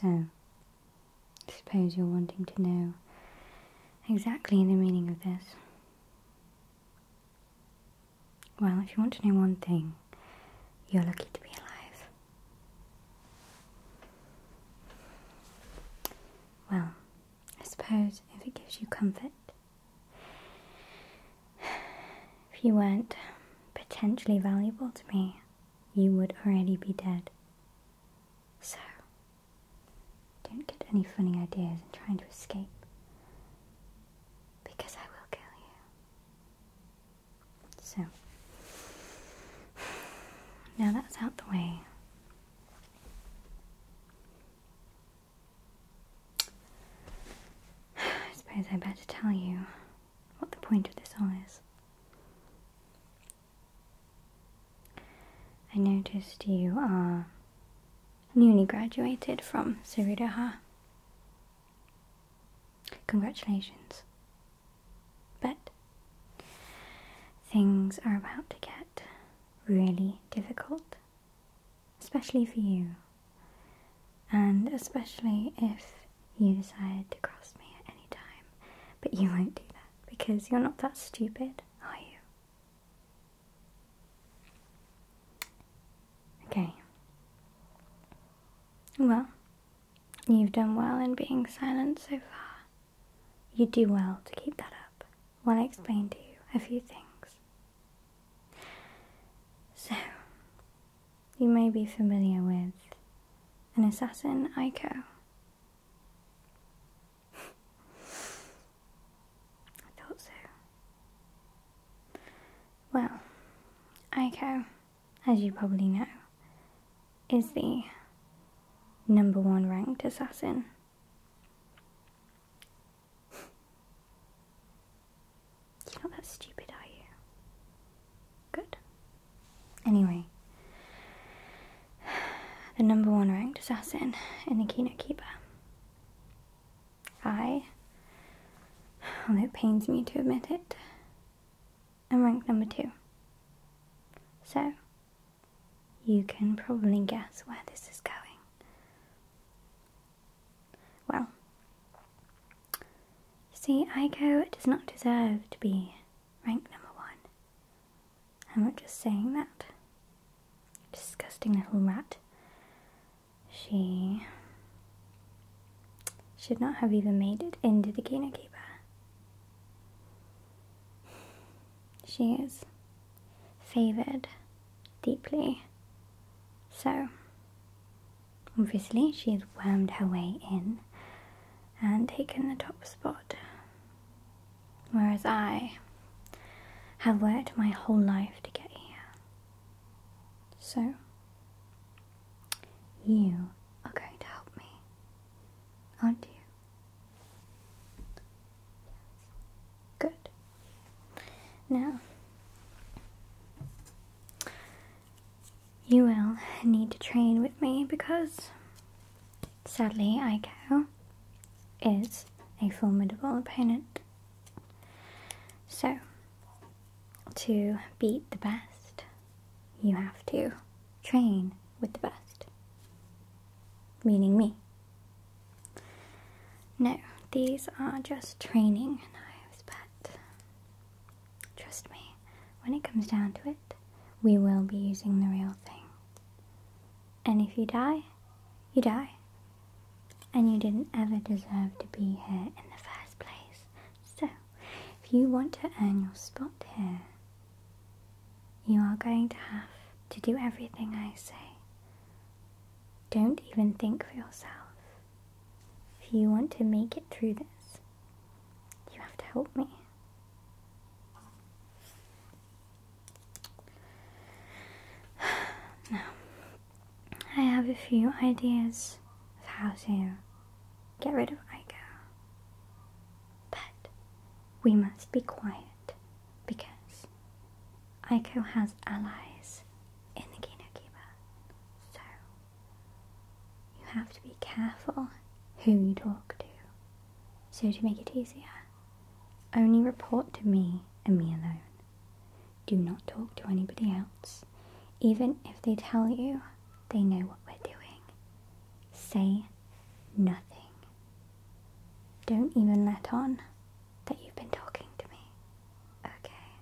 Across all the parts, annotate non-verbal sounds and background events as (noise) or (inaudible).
So, I suppose you're wanting to know exactly the meaning of this. Well, if you want to know one thing, you're lucky to be alive. Well, I suppose if it gives you comfort, (sighs) if you weren't potentially valuable to me, you would already be dead. So, don't get any funny ideas in trying to escape, because I will kill you. So, now that's out the way. I suppose I better tell you what the point of this all is. I noticed you are newly graduated from Suridaha. Congratulations. But things are about to get really difficult, especially for you, and especially if you decide to cross me at any time. But you won't do that because you're not that stupid, are you? Okay. Well, you've done well in being silent so far. You do well to keep that up Want to explain to you a few things. So, you may be familiar with an assassin, Aiko. (laughs) I thought so. Well, ICO, as you probably know, is the number one ranked assassin. (laughs) not that stupid, are you? Good. Anyway, (sighs) the number one ranked assassin in the Kino Keeper. I, well, it pains me to admit it, am ranked number two. So, you can probably guess where this is going. Well, see, Ico does not deserve to be ranked number one. I'm not just saying that. Disgusting little rat. She should not have even made it into the keeper. She is favored deeply. So, obviously, she has wormed her way in and taken the top spot. Whereas I have worked my whole life to get here. So, you are going to help me, aren't you? Good. Now, you will need to train with me because sadly Aiko is a formidable opponent. So, to beat the best, you have to train with the best, meaning me. No, these are just training knives, but trust me, when it comes down to it, we will be using the real thing. And if you die, you die. And you didn't ever deserve to be here in the first place, so, if you want to earn your spot here, you are going to have to do everything I say. Don't even think for yourself. If you want to make it through this, you have to help me. (sighs) Now, I have a few ideas of how to get rid of Igo. But we must be quiet because Ico has allies in the Kinokiba. So you have to be careful who you talk to. So to make it easier, only report to me and me alone. Do not talk to anybody else. Even if they tell you they know what we're doing, say nothing. Don't even let on that you've been talking to me. Okay.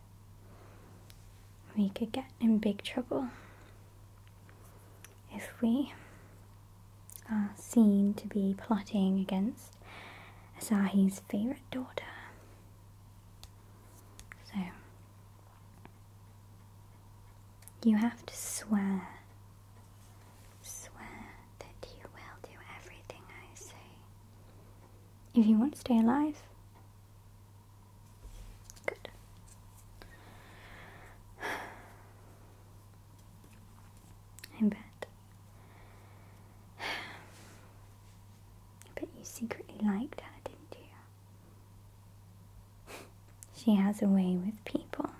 We could get in big trouble if we are seen to be plotting against Asahi's favourite daughter. So, you have to swear, swear that you will do everything I say. If you want to stay alive, good. I bet. I bet you secretly liked her, didn't you? (laughs) she has a way with people.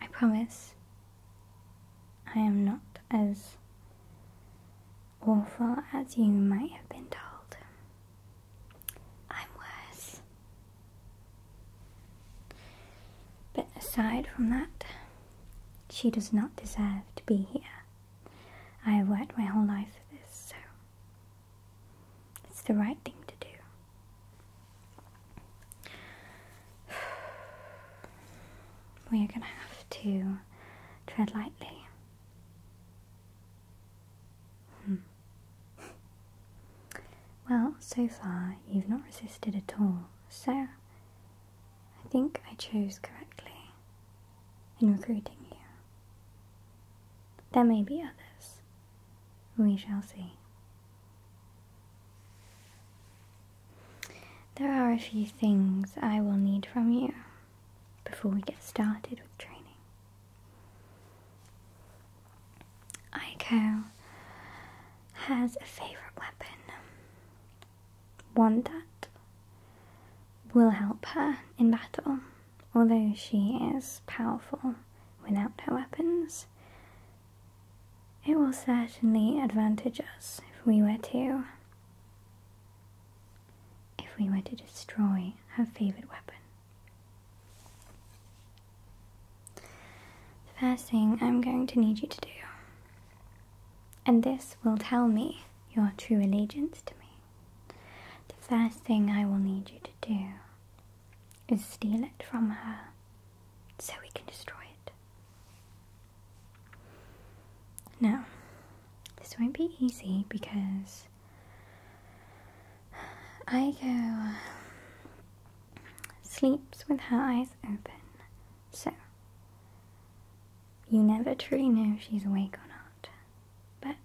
I promise I am not as awful as you might have been told. I'm worse. But aside from that, she does not deserve to be here. I have worked my whole life for this, so it's the right thing to do. (sighs) We are going to have to tread lightly. Hmm. (laughs) Well, so far you've not resisted at all, so I think I chose correctly in recruiting you. There may be others. We shall see. There are a few things I will need from you before we get started with training. Aiko has a favourite weapon. One that will help her in battle. Although she is powerful without her weapons, it will certainly advantage us if we were to if we were to destroy her favorite weapon. The first thing I'm going to need you to do and this will tell me your true allegiance to me. The first thing I will need you to do is steal it from her so we can destroy it. Now, this won't be easy because I sleeps with her eyes open. So you never truly know if she's awake or not, but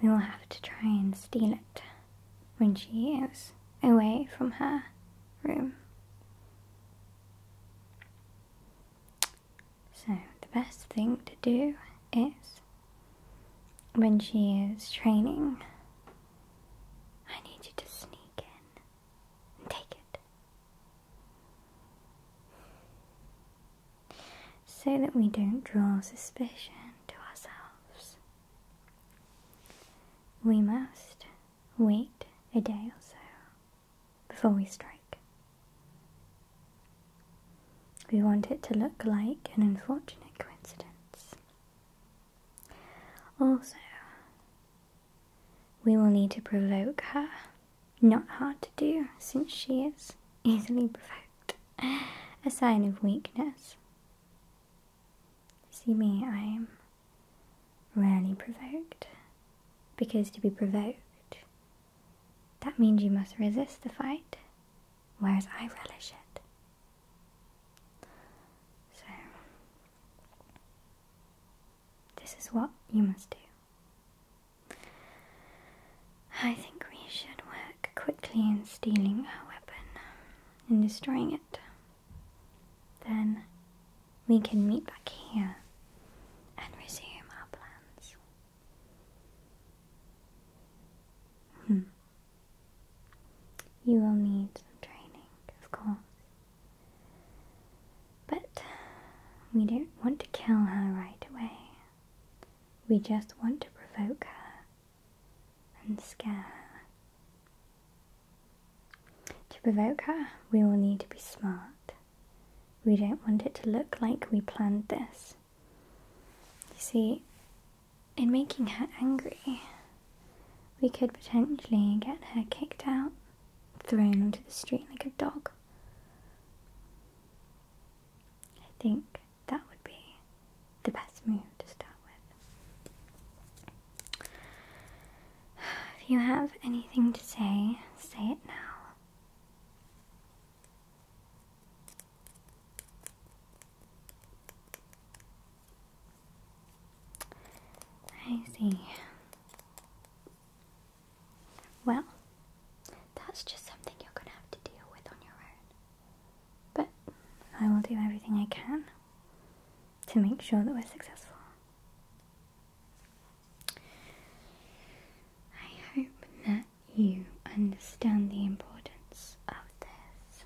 we will have to try and steal it when she is away from her room. So, the best thing to do is when she is training, I need you to sneak in take it so that we don't draw suspicion to ourselves. We must wait a day or so before we strike. We want it to look like an unfortunate coincidence. Also, we will need to provoke her. Not hard to do, since she is easily provoked. A sign of weakness. See me, I am rarely provoked. Because to be provoked, that means you must resist the fight, whereas I relish it. So, this is what you must do. I think we should work quickly in stealing our weapon and um, destroying it. Then we can meet back here and resume our plans. Hmm. You will need some training, of course. But we don't want to kill her right away. We just want to provoke her and scare her. To provoke her, we will need to be smart. We don't want it to look like we planned this. You see, in making her angry, we could potentially get her kicked out, thrown onto the street like a dog, I think that would be the best move to start with. If you have anything to say, say it now. I see. Well, that's just something you're going to have to deal with on your own. But I will do everything I can to make sure that we're successful. I hope that you understand the importance of this.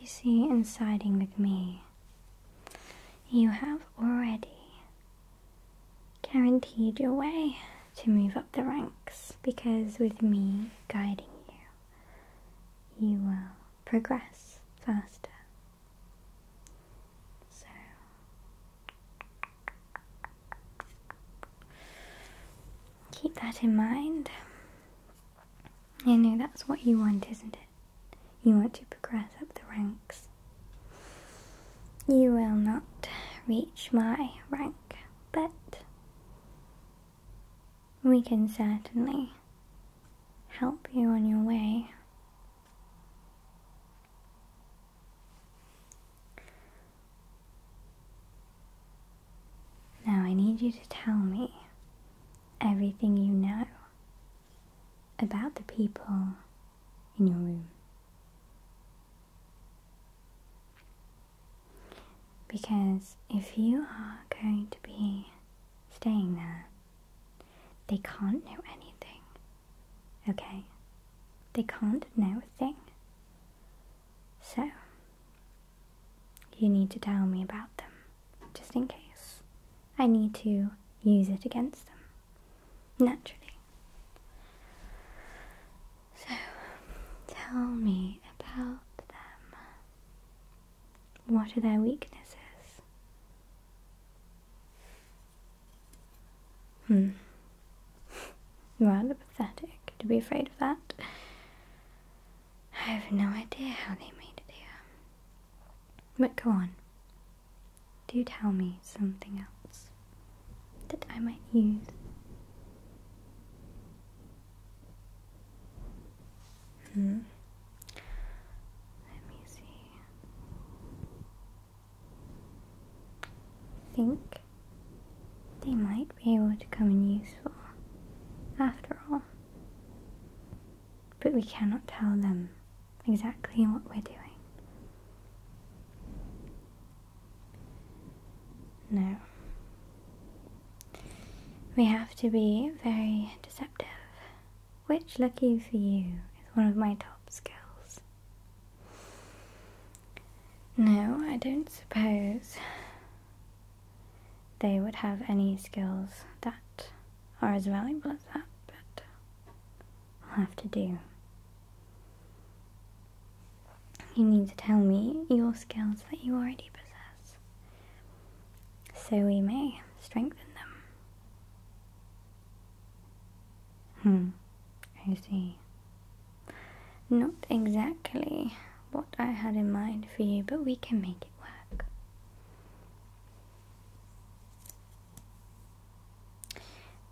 You see, in siding with me, you have already guaranteed your way to move up the ranks because with me guiding you, you will progress faster. So, keep that in mind. You know that's what you want, isn't it? You want to progress up the ranks. You will not reach my rank, but we can certainly help you on your way. Now I need you to tell me everything you know about the people in your room. Because if you are going to be staying there, they can't know anything. Okay? They can't know a thing. So, you need to tell me about them, just in case. I need to use it against them, naturally. So, tell me about them. What are their weaknesses? Hmm. Rather pathetic to be afraid of that. I have no idea how they made it here. But go on. Do tell me something else that I might use. Hmm. Let me see. I think they might be able to come in useful after all. But we cannot tell them exactly what we're doing. No. We have to be very deceptive, which, lucky for you, is one of my top skills. No, I don't suppose they would have any skills that are as valuable as that, but I'll have to do. You need to tell me your skills that you already possess, so we may strengthen them. Hmm, I see. Not exactly what I had in mind for you, but we can make it work.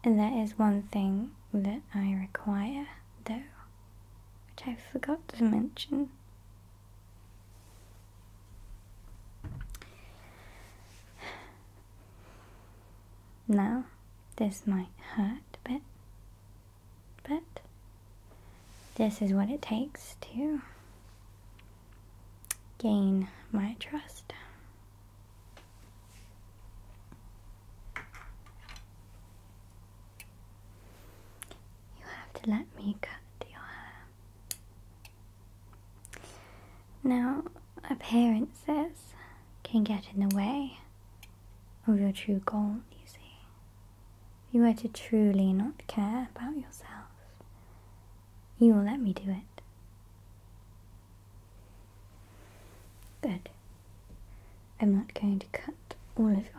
And that is one thing that I require, though, which I forgot to mention. Now, this might hurt a bit, but this is what it takes to gain my trust. You have to let me cut your hair. Now, appearances can get in the way of your true goal, you see. If you were to truly not care about yourself, you will let me do it. Good. I'm not going to cut all of your hair.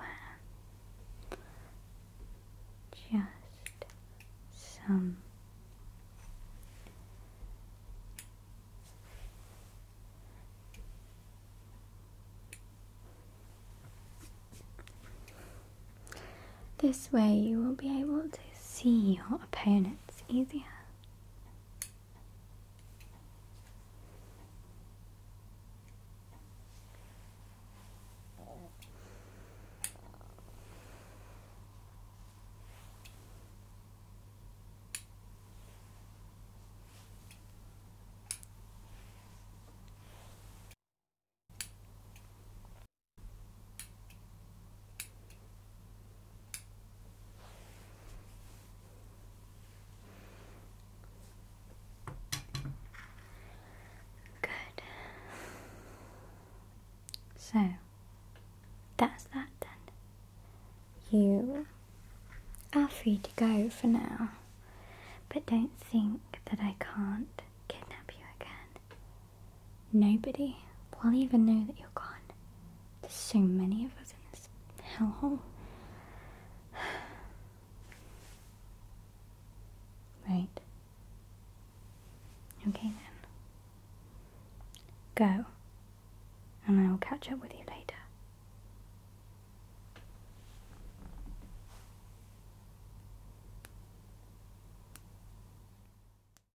Just some. This way you will be able to see your opponents easier. Good. So that's that done. You are free to go for now, but don't think that I can't kidnap you again. Nobody will even know that you're gone. There's so many of us in this hellhole. (sighs) right. Okay then. Go, and I will catch up with you later.